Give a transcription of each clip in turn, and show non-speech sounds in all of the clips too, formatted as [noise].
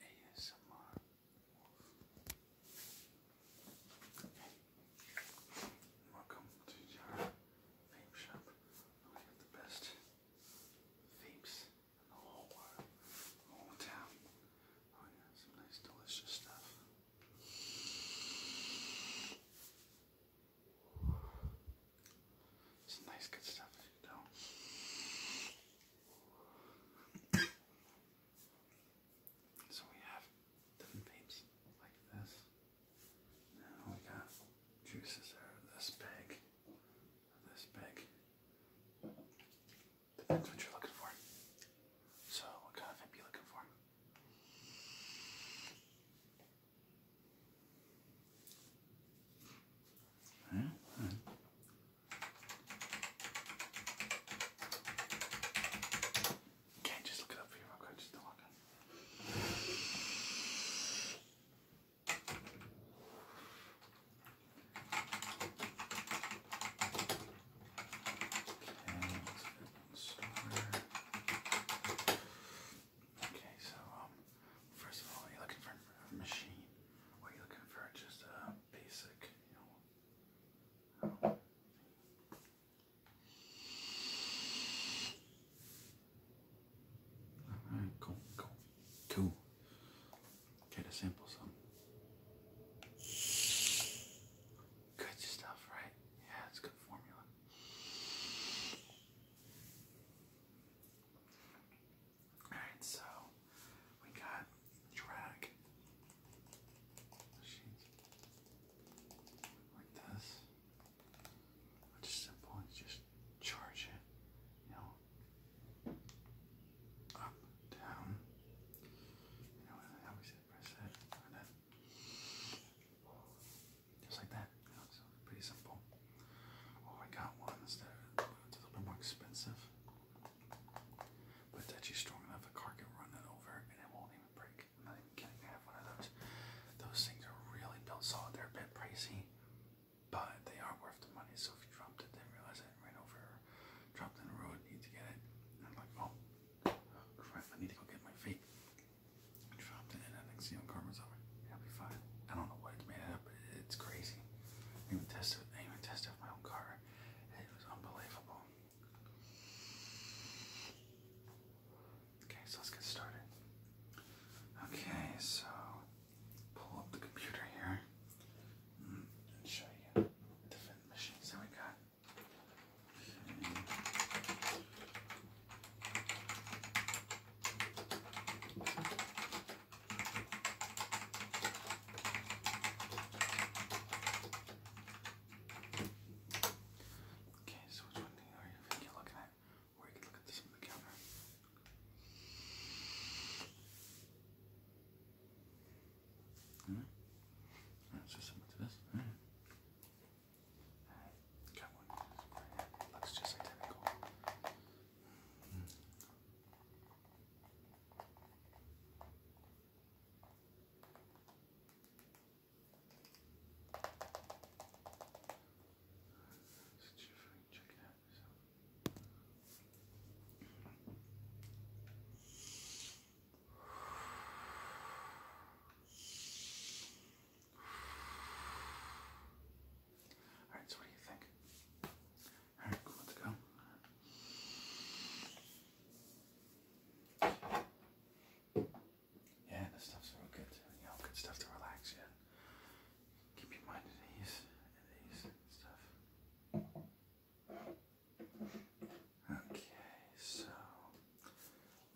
ASMR welcome to your vape shop. I have the best vapes in the whole town. Oh yeah, some nice delicious stuff. Some nice good stuff you do so we have different vapes like this. Now we got juices that are this big, this big. Depends what you're looking for. So, what kind of vape are you looking for? Okay, just look it up for you real just don't Okay, so um, first of all, you're looking for a machine. Or you looking for just a basic, you know? cool, cool, cool. Get a sample some. Good stuff, right? Yeah, it's good formula. Alright, so we got drag. Like this. Which simple, just charge it, you know, up, down. You know, I always press that, and then, just like that pretty simple. Oh, I got ones that a little more expensive, but it's actually strong enough the car can run it over and it won't even break. I'm not even kidding. I have one of those. Those things are really built solid. They're a bit pricey, but they are worth the money. So if you dropped it, didn't realize it, ran over, dropped in the road, need to get it, I'm like, oh, crap! I need to go get my feet. You dropped it in NXT on Karma's over. It'll be fine. I don't know what it's made up, but it's crazy. I even tested I even tested my own car. It was unbelievable. Okay, so let's get started. Okay, so pull up the computer here mm, and show you different machines that we got. Okay, so which one thing are you thinking you're looking at? Or you can look at this on the counter. Alright. Alright, so similar to this. Alright. Alright, got looks just identical. Mm [sighs] check it out yourself. All right, so what do you think? All right, let's go. Yeah, this stuff's real good. You know, good stuff to relax Yeah, Keep your mind at ease, at ease, stuff. Okay, so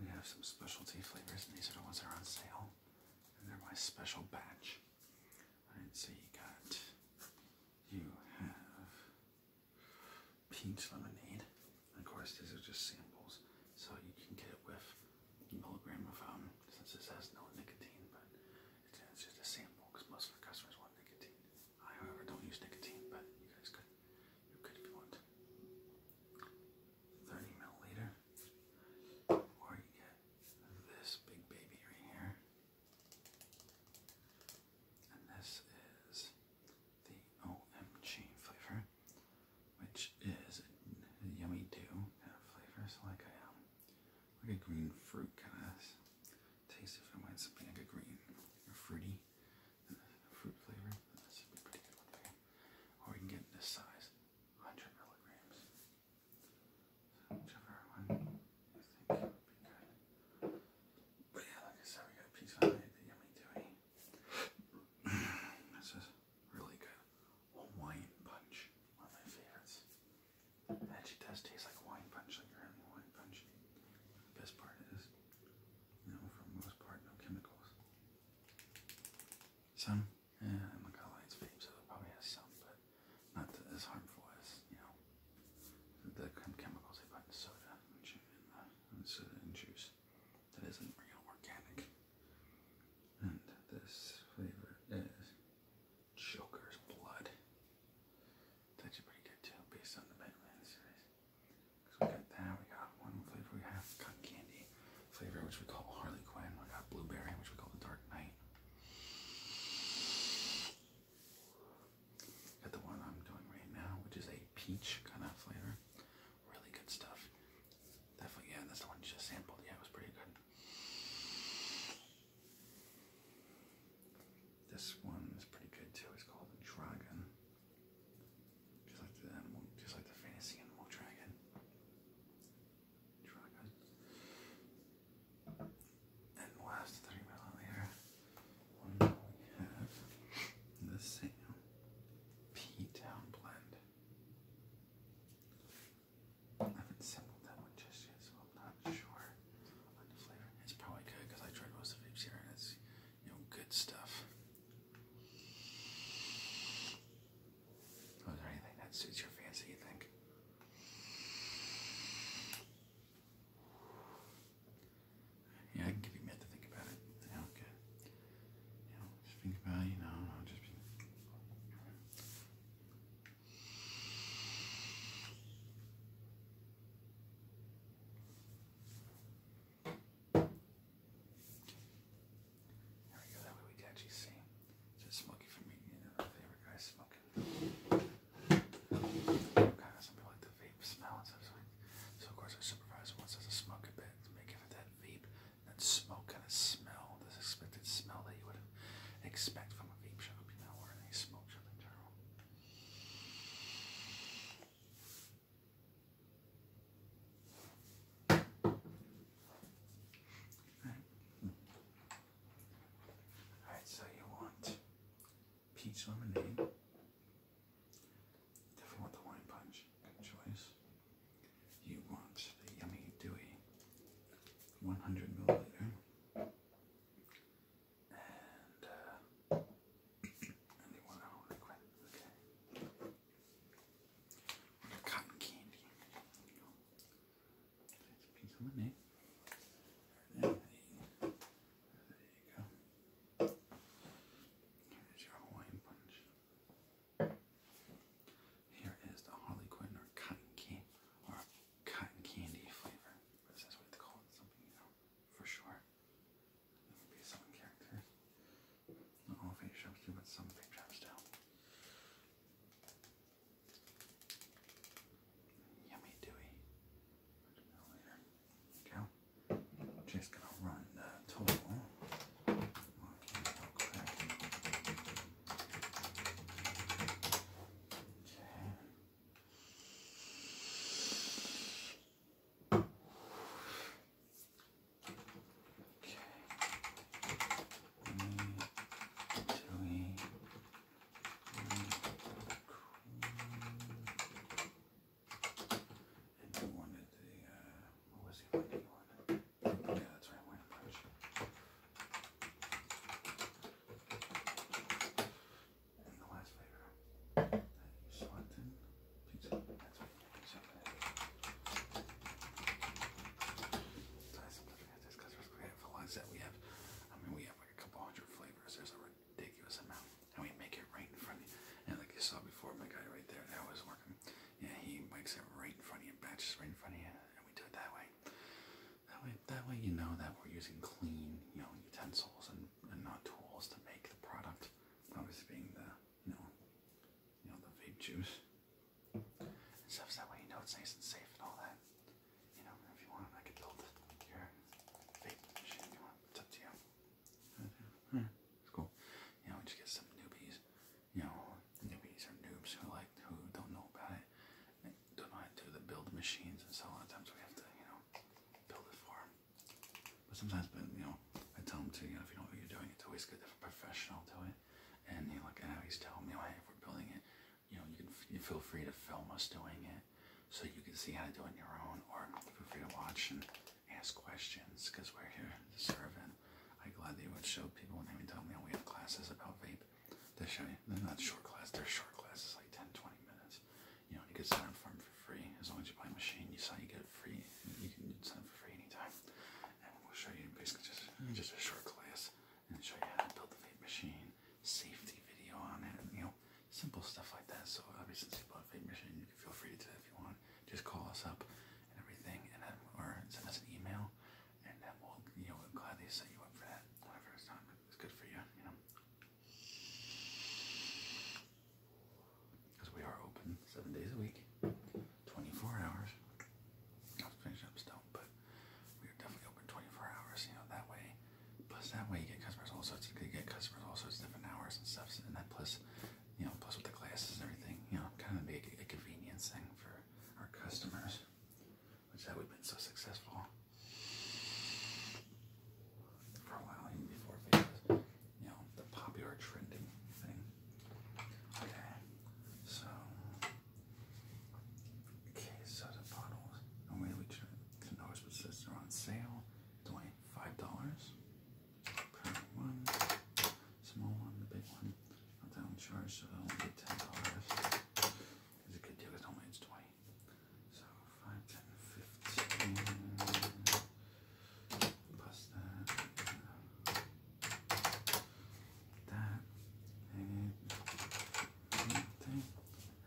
we have some specialty flavors, and these are the ones that are on sale. And they're my special batch. Alright, so you got, you have peach lemonade. Of course, these are just samples, so you can get it with milligram of, um, since this has no nicotine, but it's, it's just a sample because most of our customers want nicotine. I, however, don't use nicotine, but you guys could, you could if you want. 30 milliliter or you get this big baby right here, and this is the OMG flavor, which is a yummy dew kind of flavor. So like a um, like a green fruit kind of taste. if I might something like a green or fruity or we can get this size, 100 milligrams. So But yeah, like I said, we got a the yummy doughy. this is really good. Hawaiian punch, one of my favorites. It actually does taste like wine punch, like your are wine punch. The best part is, you for most part, no chemicals. Some? Yeah, I'm not gonna lie, it's vape, so it probably has some, but not as harmful as, you know, the kind of chemicals they put in soda and, and, soda and juice that isn't real organic. And this flavor is Joker's Blood. That's pretty good too, based on the Batman series we got that. We got one flavor. We have cotton candy flavor, which we call Harley Quinn. We got blueberry, which we call the Dark Knight. Got the one I'm doing right now, which is a peach kind of flavor. Really good stuff. Definitely, yeah, that's the one you just sampled. Yeah, it was pretty good. This one is pretty good too. It's called the Dragon. Just like the animal, just like the fantasy animal dragon. Dragon. And last thirty millimeter we have the same P Town blend. I haven't sampled that one just yet, so I'm not sure on the flavor. It's probably good because I tried most of it here and it's you know good stuff. Was there anything that suits your fancy, you think? Yeah, I can give you a to think about it. okay. You know, think about you know, just there we go, that way we can actually see. Is it smoky for me? You know, favorite guy smoking. Okay, some people like the vape smell and stuff. So, so of course our supervisor wants us to smoke a bit to make it for that vape, that smoke kind of smell, this expected smell that you would expect from a vape shop, you know, or any smoke shop in general. Alright, so you want peach lemonade. Definitely want the wine punch. Good choice. You want the yummy dewy 100 milliliter. And uh, one whole Okay. Cotton candy. There you a piece of money. There you go. Here's your Hawaiian punch. Here is the Harley or cotton candy or cotton candy flavor. This is what it's called, something you know for sure. This will some characters. Not all of it shows you, but some of it drops down. Yummy dewy. Later. Cow. Just gonna run the total. Okay, Okay. Three, and you wanted the, uh, what was the one you wanted? Yeah, that's right, wine approach. And the last flavor that you selected, pizza. That's what So I sometimes forget this because I realize that we have, I mean, we have like a couple hundred flavors. There's a ridiculous amount. And we make it right in front of you. And like you saw before, my guy right there that was working, yeah, he makes it right in front of you, batches right in front of you. And we do it that way. That way, that way you know that we're using clean, you know, utensils and and, and not tools to make the product. Obviously, being the you know, you know the vape juice and stuff. So that way you know it's nice and safe and all that. You know, if you want, I could build your vape machine. you want, it's up to you. It's cool. You know, we just get some newbies. You know, newbies or noobs who like who don't know about it donate to the build machines and so a lot of times we have to, you know, build it for them. But sometimes, but you know, I tell them to, you know, if you know what you're doing, it's always good to have a professional do it. And you know, like I always tell them, oh, you know, hey, if we're building it, you know, you can you feel free to film us doing it, so you can see how to do it on your own, or feel free to watch and ask questions because we're here to serve. And I'm glad that you would show people when they would tell me you oh, know, we have classes about vape they're shiny. They're not short class. They're short classes, like 10, 20 minutes. You know, you can set them for for free as long as you buy a machine. You saw you get it free. You can set them for free anytime. And we'll show you basically just hmm. just a short class and show you how to build the vape machine, safety video on it, you know, simple stuff like that. So obviously, since you bought a vape machine, you can feel free to do that if you want. Just call us up and everything, and then or send us an email, and then we'll you know we'll gladly set you up for that whenever it's time. It's good for you, you know. Because we are open seven days a week, 24 hours. I'll up still, but we are definitely open 24 hours, you know, that way. Plus, that way you get customers all sorts. You get customers all sorts of different hours and stuff, and that plus, you know, plus with the classes and everything, you know, kind of be a convenience thing for our customers which is how we've been so successful for a while, even before you know, the popular trending thing. Okay, so, okay, soda bottles, and we can notice what says they on sale, it's dollars Current one, small one, the big one, not that one charge, so that only be $10. It's a good deal, because normally 20 so 5, plus that. That and thing.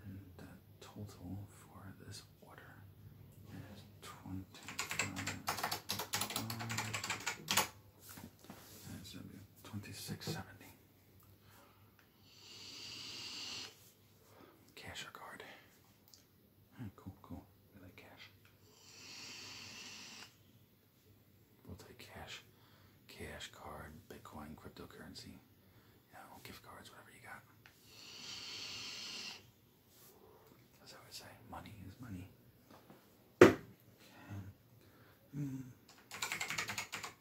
And the total for this order is twenty-five. That's twenty-six seventy. Cash or card? Ah, cool, cool. We like cash. We'll take cash, cash, card, Bitcoin, cryptocurrency. Yeah, gift cards, whatever you got. As I would say, money is money. Hmm.